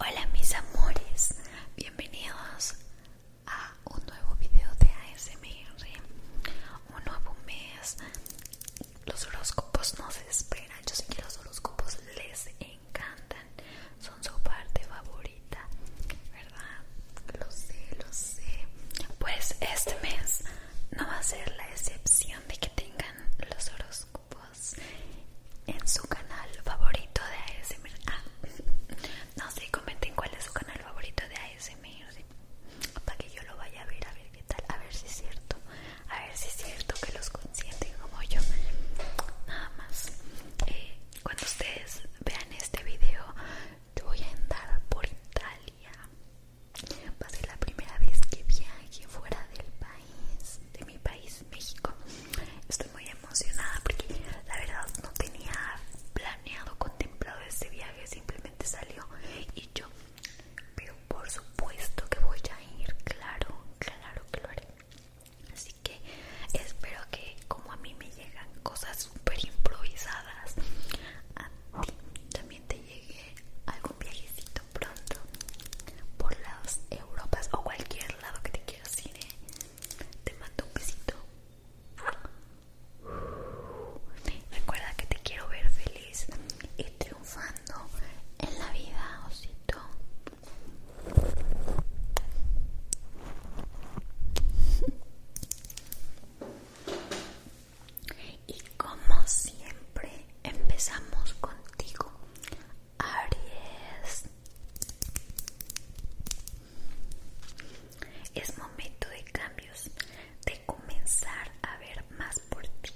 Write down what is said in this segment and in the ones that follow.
Hola mis amores, bienvenidos a un nuevo video de ASMR, un nuevo mes. Los horóscopos no se esperan, yo sé que los horóscopos les encantan, son su parte favorita, ¿verdad? Lo sé, lo sé. Pues este mes no va a ser la excepción de que tengan los horóscopos en su canal favorito de ASMR. Ah, no sé, comenten cuál es su canal favorito de ASMR para que yo lo vaya a ver, a ver qué tal, a ver si es cierto, a ver si es cierto que los consienten como yo. Nada más. Eh, cuando ustedes vean este video, yo voy a andar por Italia. Va a ser la primera vez que viaje fuera del país, de mi país, México. Estoy muy emocionada porque la verdad no tenía planeado, contemplado este viaje, simplemente salió y yo, pero por supuesto que voy a ir, claro, claro que lo haré. Así que espero que como a mí me llegan cosas súper improvisadas, también te llegue algún viajecito pronto por las Europas o cualquier lado que te quiero ir. ¿eh? Te mando un besito. Recuerda que te quiero ver feliz y triunfando en la vida, osito. Y como siempre, empezamos contigo, Aries. Es momento de cambios, de comenzar a ver más por ti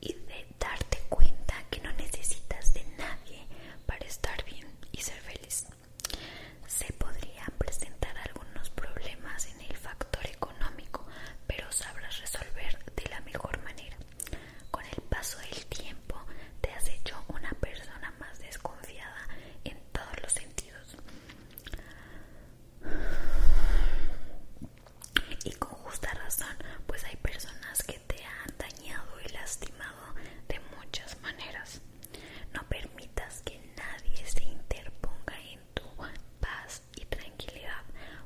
y de darte cuenta que no necesitas de nadie para estar bien y ser feliz. Se podrían presentar algunos problemas en el factor económico, pero sabrás resolver de la mejor manera. Con el paso del tiempo te has hecho una persona más desconfiada en todos los sentidos. Y con justa razón, pues hay personas que te han dañado y lastimado de muchas maneras. No permitas que nadie se interponga en tu paz y tranquilidad,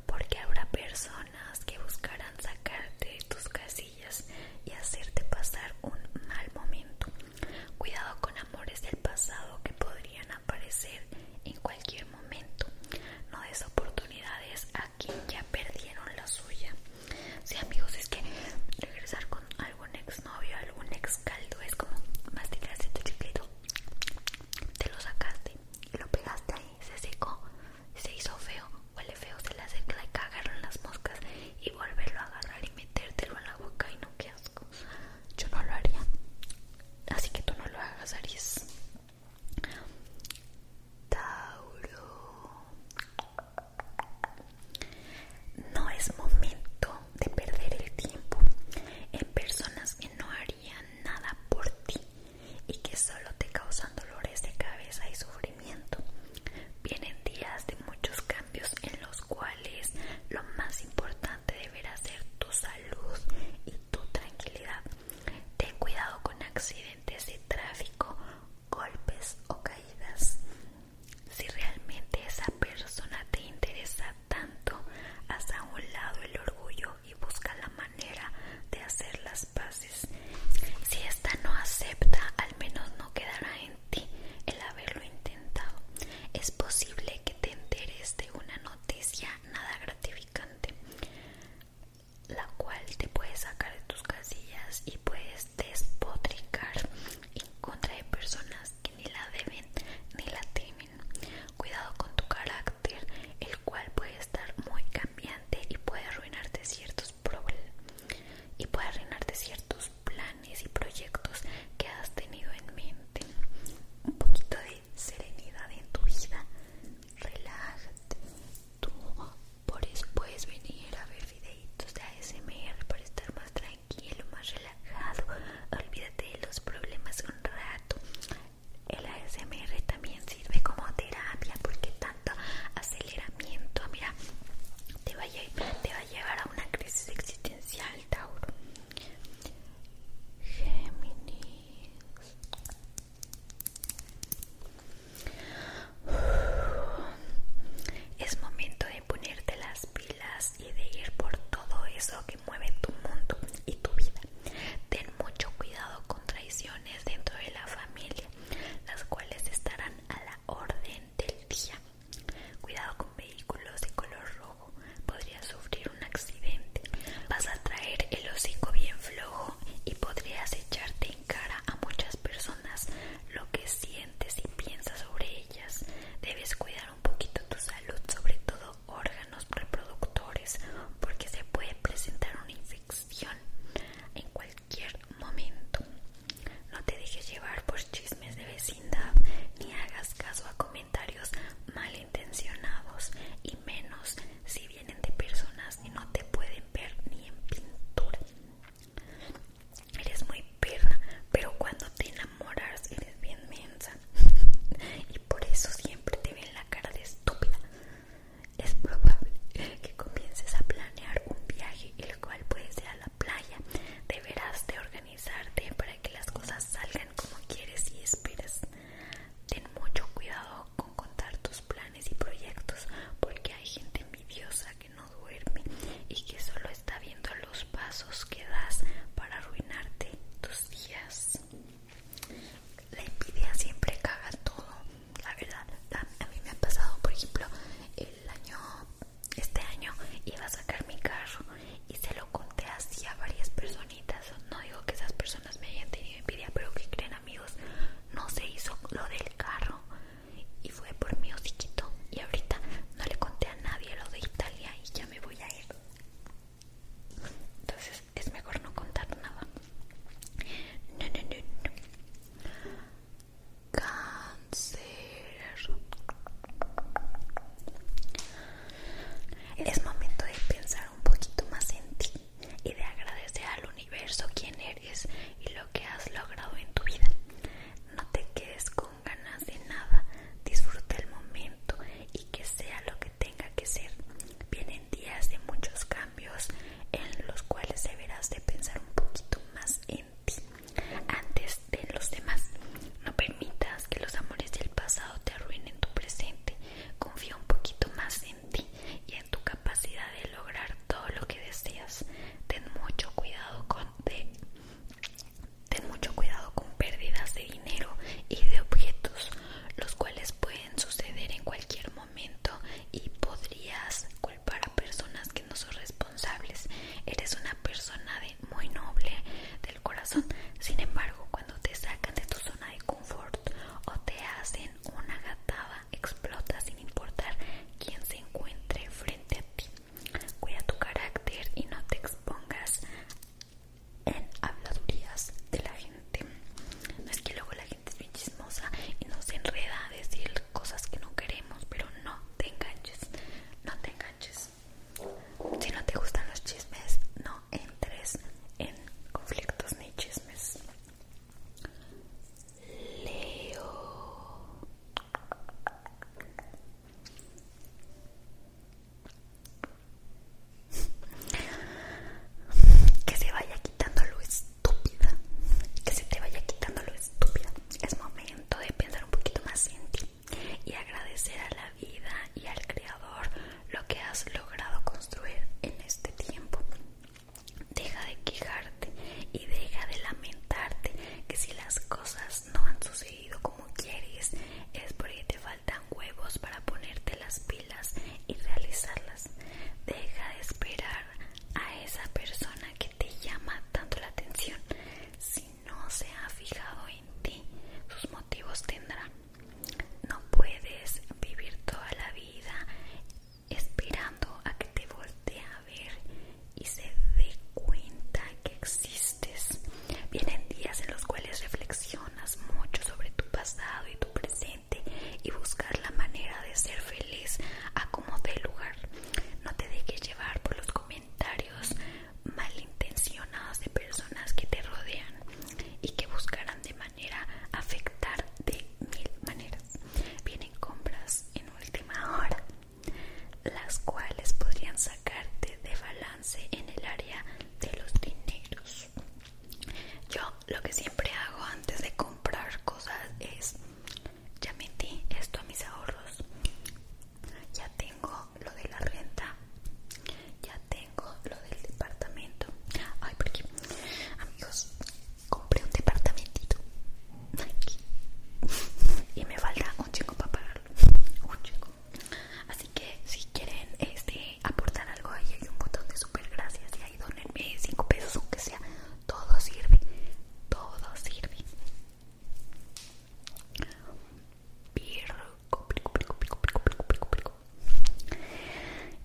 porque habrá personas que buscarán sacarte de tus casillas y hacerte pasar un mal momento. Cuidado con amores del pasado que podrían aparecer en cualquier momento. No des oportunidades a quien ya perdieron la suya. Si amigos, es que regresar con algún exnovio, algún ex caldo, es como masticaste tu chiclito, te lo sacaste, Y lo pegaste ahí, se secó, se hizo feo, huele feo, se le hace que cagaron las moscas y volverlo a agarrar y metértelo en la boca y no, qué asco. Yo no lo haría, así que tú no lo hagas, Aries. Tauro. No es momento de perder el tiempo en personas que no harían nada por ti y que solo te causan dolores de cabeza y sufrimiento. Vienen días de muchos cambios en los cuales lo más importante deberá ser tu salud y tu tranquilidad. Ten cuidado con accidentes de tráfico, golpes o caídas. Si realmente esa persona te interesa tanto, haz a un lado el orgullo y busca la manera de hacer las paces. Si esta no acepta, al menos no quedará en ti el haberlo intentado. Es posible que te enteres de una noticia nada gratificante, la cual te puede sacar de tus casillas y puedes despotricar en contra de personas que ni la deben ni la temen. Cuidado con tu carácter, el cual puede estar muy cambiante y puede arruinarte ciertos y puede arruinarte ciertos planes y proyectos que has tenido en mente. Un poquito de serenidad en tu vida. Relájate. Tú por eso puedes venir a ver videitos de ASMR para estar más tranquilo tranquilo, más relajado Olvídate de los problemas un rato El ASMR también sirve como terapia Porque tanto aceleramiento, mira Te va a, te va a llevar a una crisis existencial, Tauro Géminis Es momento de ponerte las pilas y de ir por todo eso que mueve tu mundo y tu vida. Ten mucho cuidado con traiciones dentro de la familia, las cuales estarán a la orden del día. Cuidado con vehículos de color rojo, podrías sufrir un accidente. Vas a traer el hocico bien flojo y podrías echarte en cara a muchas personas lo que sientes y piensas sobre ellas. Debes cuidar un poquito tu salud, sobre todo órganos reproductores, porque se puede presentar una infección en cualquier momento. No te dejes llevar por chismes de vecindad, ni hagas caso a comentarios malintencionados, y menos si vienen de personas que no te pueden ver ni en pintura. Eres muy perra, pero cuando te enamoras eres bien mensa. y por eso siempre te ven la cara de estúpida. Es probable que comiences a planear un viaje, el cual puede ser a la playa. Deberás de organizarte para que las cosas salgan como quieres y esperas. Ten mucho cuidado con contar tus planes y proyectos, porque hay gente envidiosa que no duerme y que solo está viendo los pasos que das para arruinarte tus días. La envidia siempre caga todo, la verdad. A mí me ha pasado, por ejemplo, el año, este año iba a sacar mi carro y se lo conté así a varias personitas. No digo que esas personas me hayan tenido envidia, pero que creen amigos, no se hizo lo del carro fue por mi hociquito y ahorita no le conté a nadie lo de Italia y ya me voy a ir entonces es mejor no contar nada no no no, cáncer es momento de pensar un poquito más en ti y de agradecer al universo quién eres y lo que has logrado en tu vida. No te quedes ganas de nada, disfruta el momento y que sea lo que tenga que ser. Vienen días de muchos cambios en los cuales deberás de pensar un poquito más en ti antes de los demás. No permitas que los amores del pasado te arruinen tu presente. Confía un poquito más en ti y en tu capacidad de lograr todo lo que deseas. Ten mucho cuidado con Ten mucho cuidado con pérdidas de dinero y de objetos, los cuales pueden suceder en cualquier momento y podrías culpar a personas que no son responsables. Eres una persona muy noble del corazón, sin embargo, cuando te sacan de tu zona de confort o te hacen una gataba, explota sin importar quién se encuentre frente a ti. Cuida tu carácter y no te expongas en habladurías de la gente. No es que luego la gente es muy chismosa y nos enreda a decir cosas que no queremos, pero no te enganches, no te enganches. Si no te gustan los chismes, no entres en conflictos ni chismes. Leo Que se vaya quitando lo estúpida. Que se te vaya quitando lo estúpida. Es momento de pensar un poquito más en ti y agradecer a la vida y al Creador lo que has logrado construir en este tiempo. Deja de quejarte y deja de lamentarte que si las cosas no han sucedido como quieres es porque te faltan huevos para ponerte las pilas y realizarlas. Deja de esperar a esa persona que te llama tanto la atención. Si no se ha fijado en ti, sus motivos tendrán. No puedes vivir toda la vida esperando a que te voltee ver y se dé cuenta que existes. Vienen días en los cuales reflexionas mucho sobre tu pasado y tu presente y buscar la manera de ser feliz a como dé lugar. No te dejes llevar por los comentarios malintencionados de personas que te rodean y que buscarán de manera afectar de mil maneras. Vienen compras en última hora las cuales podrían sacarte de balance en el área de los dineros. Yo lo que siempre hago antes de comprar cosas es, ya metí esto a mis ahorros, ya tengo lo de la renta, ya tengo lo del departamento. Ay, amigos, compré un departamentito y me falta un chico para pagarlo un chico así que si quieren este, aportar algo ahí hay un botón de super gracias y ahí donenme 5 pesos aunque sea todo sirve todo sirve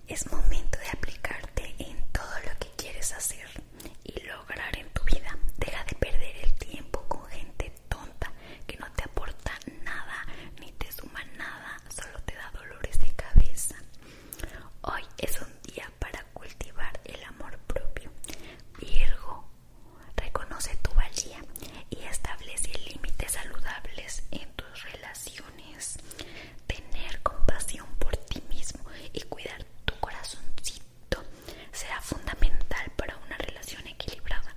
es momento de aplicarte en todo lo que quieres hacer y lograr en tu vida. Deja de perder el tiempo con gente tonta que no te aporta nada ni te suma nada, solo te da dolores de cabeza. Hoy es un día para cultivar el amor propio. Virgo, reconoce tu valía y establece límites saludables en tus relaciones. Tener compasión por ti mismo y cuidar tu corazoncito será fundamental para una relación equilibrada.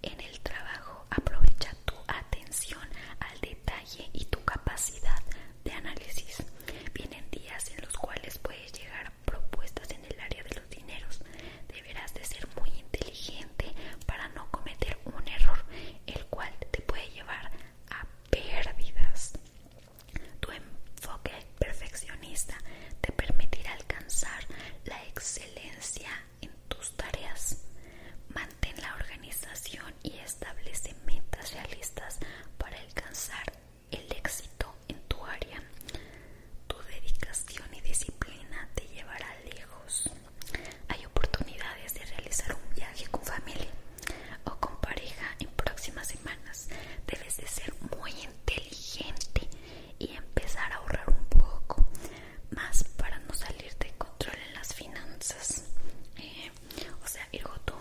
En el trabajo aprovecha tu atención al detalle y tu capacidad de análisis. Vienen días en los cuales puedes llegar a propuestas en el área de los dineros. Deberás de ser muy inteligente para no cometer un error, el cual te puede llevar a pérdidas. Tu enfoque perfeccionista te permitirá alcanzar la excelencia en tus tareas. Mantén la organización y establece metas realistas para alcanzar el éxito en tu área. Tu dedicación y disciplina te llevará lejos. Hay oportunidades de realizar un viaje con familia o con pareja en próximas semanas. Debes de ser muy inteligente y empezar a ahorrar un poco más para no salir de control en las finanzas. Eh, o sea, Virgo, tú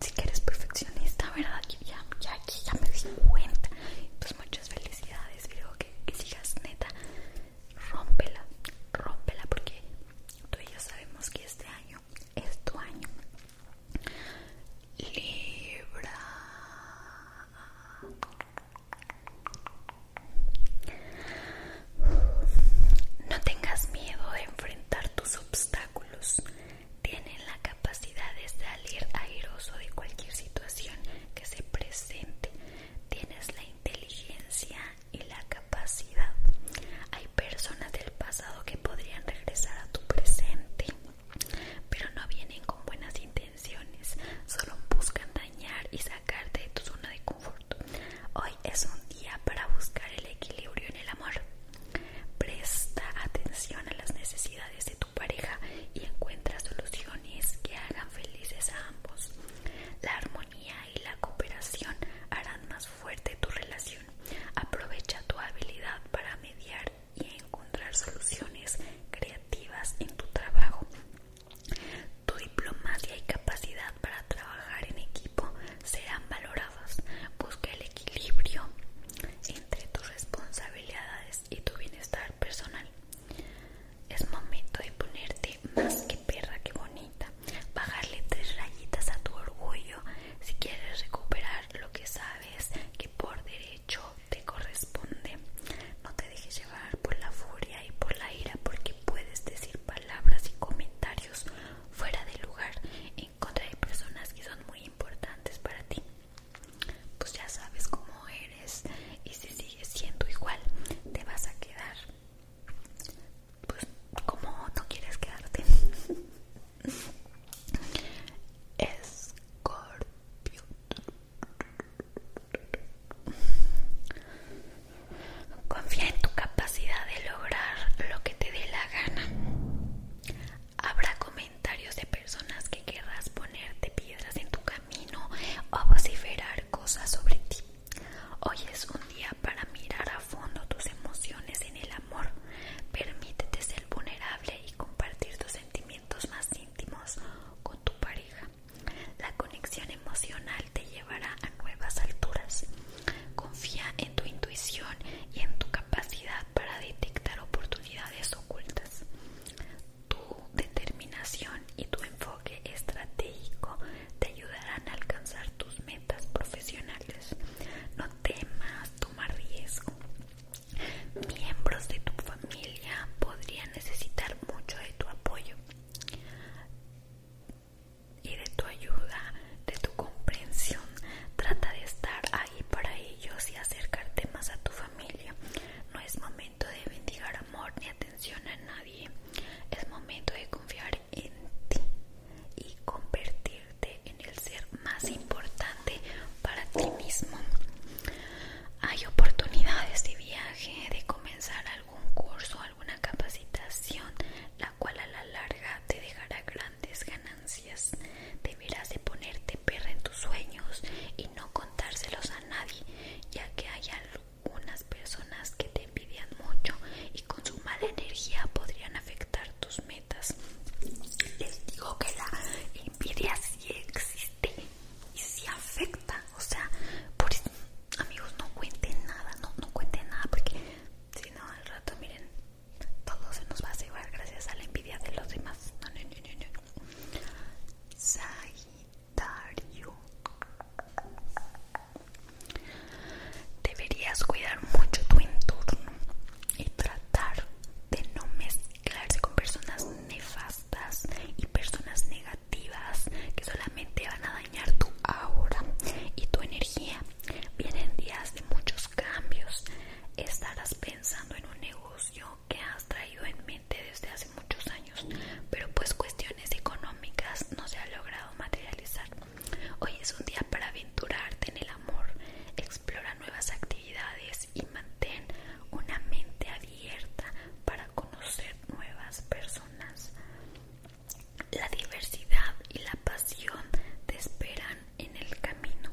si que eres perfeccionista, ¿verdad? Ya, ya, ya me di cuenta. Pues muchas felicidades, Virgo, que, sigas neta. Rómpela, rómpela, porque tú y yo sabemos que este año es año. Libra. No tengas miedo de enfrentar tus obstáculos. Tienen la capacidad de salir airoso de cualquier situación que se presente. Tienes la inteligencia y la capacidad. Hay personas del pasado que podrían regresar a tu presente pero no vienen con buenas intenciones, solo buscan dañar y sacarte de tu zona de confort. Hoy es un día para buscar el equilibrio en el amor. Presta atención a las necesidades de tu pareja y encuentra soluciones que hagan felices a ambos. La armonía y la cooperación harán más fuerte tu relación. Aprovecha tu habilidad para mediar y encontrar soluciones creativas en tu trabajo. Tu diplomacia y capacidad para trabajar en equipo serán valoradas. Busca el equilibrio entre tus responsabilidades y tu bienestar personal. Es momento de ponerte más que perra que bonita, bajarle tres rayitas a tu orgullo si quieres recuperar lo que sabes que por derecho te corresponde. No te dejes llevar por la furia y por la ira porque puedes decir palabras y comentarios fuera de lugar en contra de personas que son muy importantes para ti. Pues ya sabes cómo eres y si sigues siendo igual te vas a quedar pues como no quieres quedarte Escorpio. Confía en tu capacidad de lograr lo que te dé la gana. Habrá comentarios de personas que querrás ponerte piedras en tu camino o vociferar cosas sobre ti. Hoy es un día para mirar a fondo tus emociones en el amor Permítete ser vulnerable y compartir tus sentimientos más íntimos con tu pareja. La conexión emocional te llevará a nuevas alturas. Confía en tu intuición y en tu capacidad para detectar oportunidades ocultas. Tu determinación y tu enfoque estratégico te ayudarán a alcanzar tus metas profesionales. No temas, tomar riesgo. Miembros de tu familia podrían necesitar mucho de tu apoyo y de tu ayuda, de tu comprensión. Trata de estar ahí para ellos y acercarte más a tu familia. No es momento de bendigar amor ni atención a nadie. Es momento de confiar en ti y convertirte en el ser más importante para ti mismo. Hay oportunidades de viaje, de comenzar algún curso, alguna capacitación, la cual a la larga te dejará grandes ganancias. Deberás de ponerte perra en tus sueños y no contárselos a nadie, ya que hay algunas personas que te envidian mucho y con su mala energía podrían afectar tus metas les digo que la envidia sí existe y sí afecta. O sea, por eso, amigos, no cuenten nada, no, no cuenten nada porque si no, al rato, miren, todo se nos va a llevar gracias a la envidia de los demás. Sagitario. Deberías cuidar mucho tu entorno y tratar de no mezclarse con personas nefastas y personas negativas que solamente van a dañar tu aura y tu energía. Vienen días de muchos cambios. Estarás pensando en un negocio que has traído en mente desde hace muchos años, pero pues cuestiones económicas no se ha logrado materializar. Hoy es un día para aventurarte en el amor, explora nuevas actividades y mantén una mente abierta para conocer nuevas personas. La diversidad y la pasión te esperan en el camino.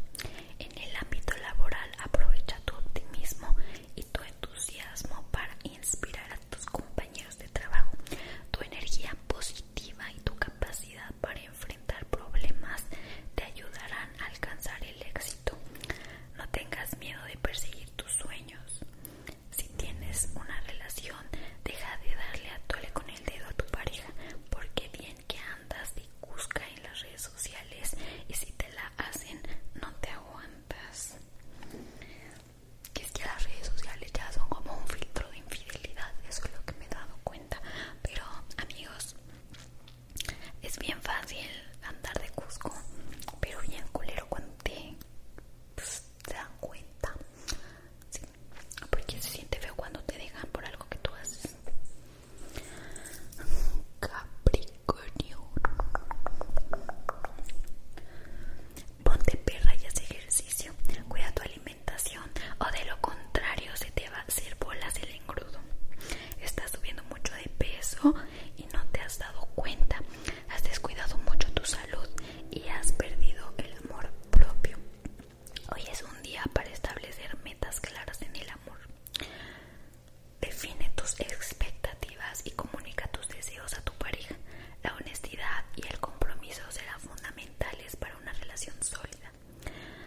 En el ámbito laboral aprovecha tu optimismo y tu entusiasmo para inspirar a tus compañeros de trabajo. Tu energía positiva y tu capacidad para enfrentar problemas te ayudarán a alcanzar el éxito. No tengas miedo de perseguir tus sueños. Si tienes una relación, deja de darle a tole con el dedo a tu pareja, porque bien que andas y busca en las redes sociales y si te la hacen, no te aguantas. Que es que las redes sociales ya son como un filtro de infidelidad, es lo que me he dado cuenta pero amigos es bien fácil andar de Cusco pero bien culero cuando te, pues, dan cuenta porque se siente feo cuando te dejan por algo que tú haces Capricornio ponte perra y haz ejercicio cuida tu alimento o de lo contrario se te va a hacer bolas el engrudo. Estás subiendo mucho de peso y no te has dado cuenta. Has descuidado mucho tu salud y has perdido el amor propio. Hoy es un día para establecer metas claras en el amor. Define tus expectativas y comunica tus deseos a tu pareja. La honestidad y el compromiso serán fundamentales para una relación sólida.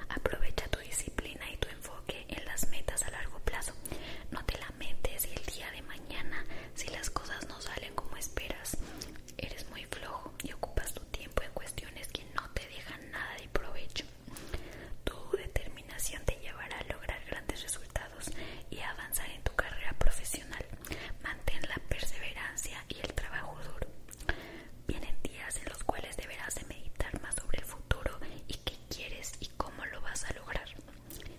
Aprovecha tu disciplina y tu enfoque en las metas a largo plazo. No te lamentes el día de mañana, si las cosas no salen como esperas, eres muy flojo y ocupas tu tiempo en cuestiones que no te dejan nada de provecho. Tu determinación te llevará a lograr grandes resultados y avanzar en tu carrera profesional. Mantén la perseverancia y el trabajo duro. Vienen días en los cuales deberás de meditar más sobre el futuro y qué quieres y cómo lo vas a lograr.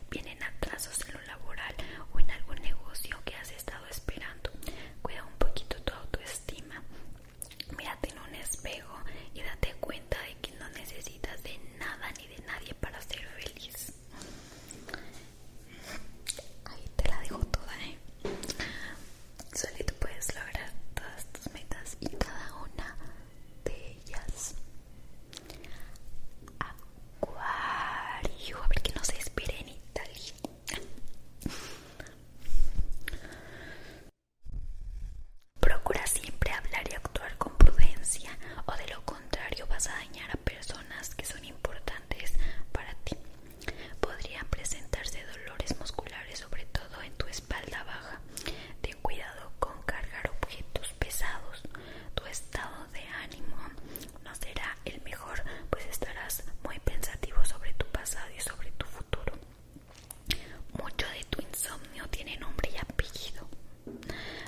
Vienen atrasos en lo laboral o en algún negocio que has estado esperando. Cuida un poquito tu autoestima. Mírate en un espejo y date cuenta de que no necesitas de nada ni de nadie para ser feliz. Ahí te la dejo toda, ¿eh? solito puedes lograr todas tus metas y cada una de ellas. Acuario, a ver que no se espere en Italia. Procura siempre hablar y actuar con prudencia o de lo contrario vas a dañar a personas que son importantes para ti. Podrían presentarse dolores musculares, sobre todo en tu espalda baja. Ten cuidado con cargar objetos pesados. Tu estado de ánimo no será el mejor, pues estarás muy pensativo sobre tu pasado y sobre tu futuro. Mucho de tu insomnio tiene nombre y apellido,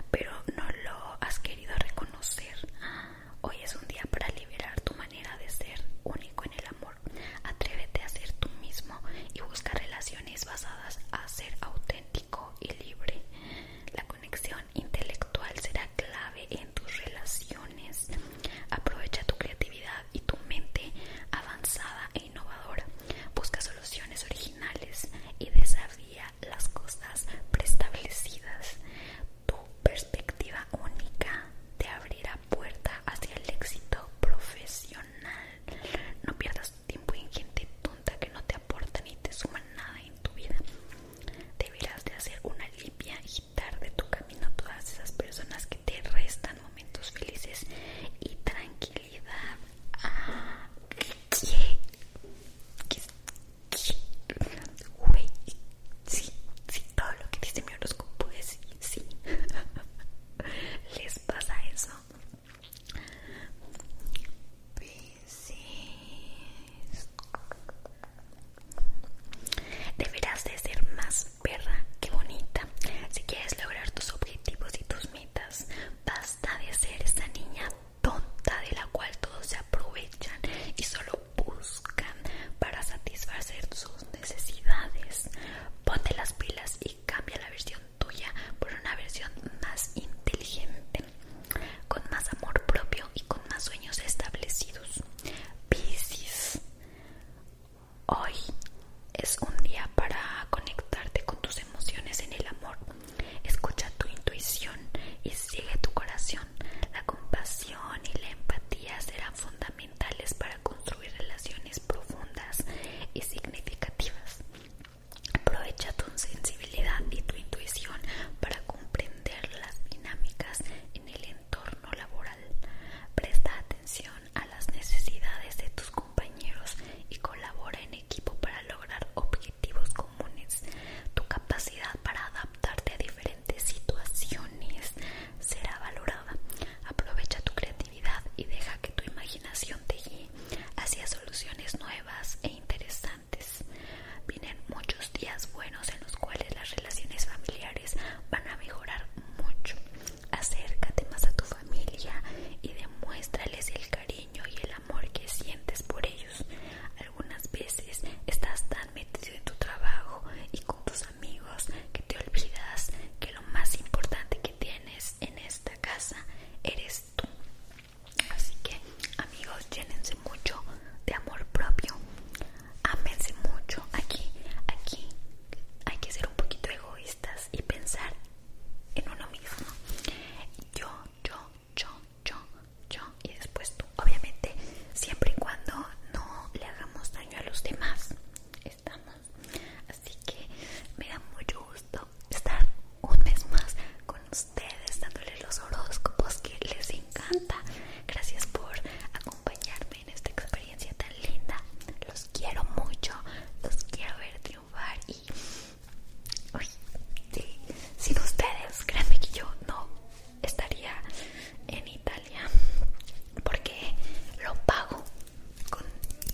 pero no lo has querido reconocer. Ah, Hoy es un día para liberar tu manera de ser único en el amor. Atrévete a ser tú mismo y busca relaciones basadas a ser auténtico y libre. La conexión intelectual será clave en tus relaciones. Aprovecha tu creatividad y tu mente avanzada e innovadora. Busca soluciones originales y desafía las cosas preestablecidas. Tu perspectiva única te abrirá puerta hacia el éxito profesional. No pierdas tiempo en gente tonta que no te aporta ni te suma nada en tu vida. Deberás de hacer una limpia y dar de tu camino a todas esas personas que te restan momentos felices y tranquilidad sí, sí, todo lo que dice mi horóscopo es sí. ¿Les pasa eso? Pues Deberás de ser más perra que bonita. Si quieres lograr tus objetivos y tus metas, basta de ser esa niña tonta de la cual todos se aprovechan y solo buscan para satisfacer sus necesidades. Ponte las pilas y cambia la versión tuya por una versión más inteligente, con más amor propio y con más sueños establecidos. Piscis, hoy es un día para conectarte con tus emociones en el amor. Escucha tu intuición y sigue tu corazón. La compasión y la empatía serán fundamentales para construir relaciones profundas y significativas. Aprovecha tu sensibilidad y tu intuición para comprender las dinámicas en el entorno laboral. Presta atención a las necesidades de tus compañeros y colabora en equipo para lograr objetivos comunes. Tu capacidad para adaptarte adaptarte a diferentes situaciones será valorada. Aprovecha tu creatividad y deja que tu imaginación te guíe hacia soluciones nuevas e interesantes. Vienen muchos días buenos en los cuales las relaciones familiares van a mejorar mucho. Acércate más a tu familia y demuéstrales el cariño y el amor que sientes por ellos. Algunas veces estás tan metido en tu trabajo y con tus amigos que te olvidas que lo más importante que tienes en esta casa eres tú. Así que amigos, llénense mucho de amor propio. Ámense mucho. Aquí, aquí hay que ser un poquito egoístas y pensar en uno mismo. Yo, yo, yo, yo, yo y después tú obviamente siempre y cuando no le hagamos daño a los demás estamos así que me da mucho gusto estar un mes más con ustedes dándoles los horóscopos que les encanta gracias por acompañarme en esta experiencia tan linda los quiero mucho los quiero ver triunfar y sí. sin ustedes, créanme que yo no estaría en Italia porque lo pago con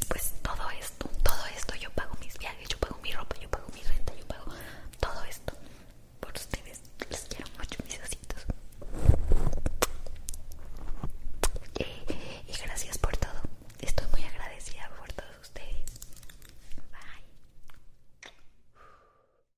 pues todo esto, todo esto yo pago mis viajes, yo pago mi ropa, yo pago mi renta, yo pago todo esto por ustedes. Les quiero mucho, mis ositos. Eh, y gracias por todo. Estoy muy agradecida por todos ustedes. Bye.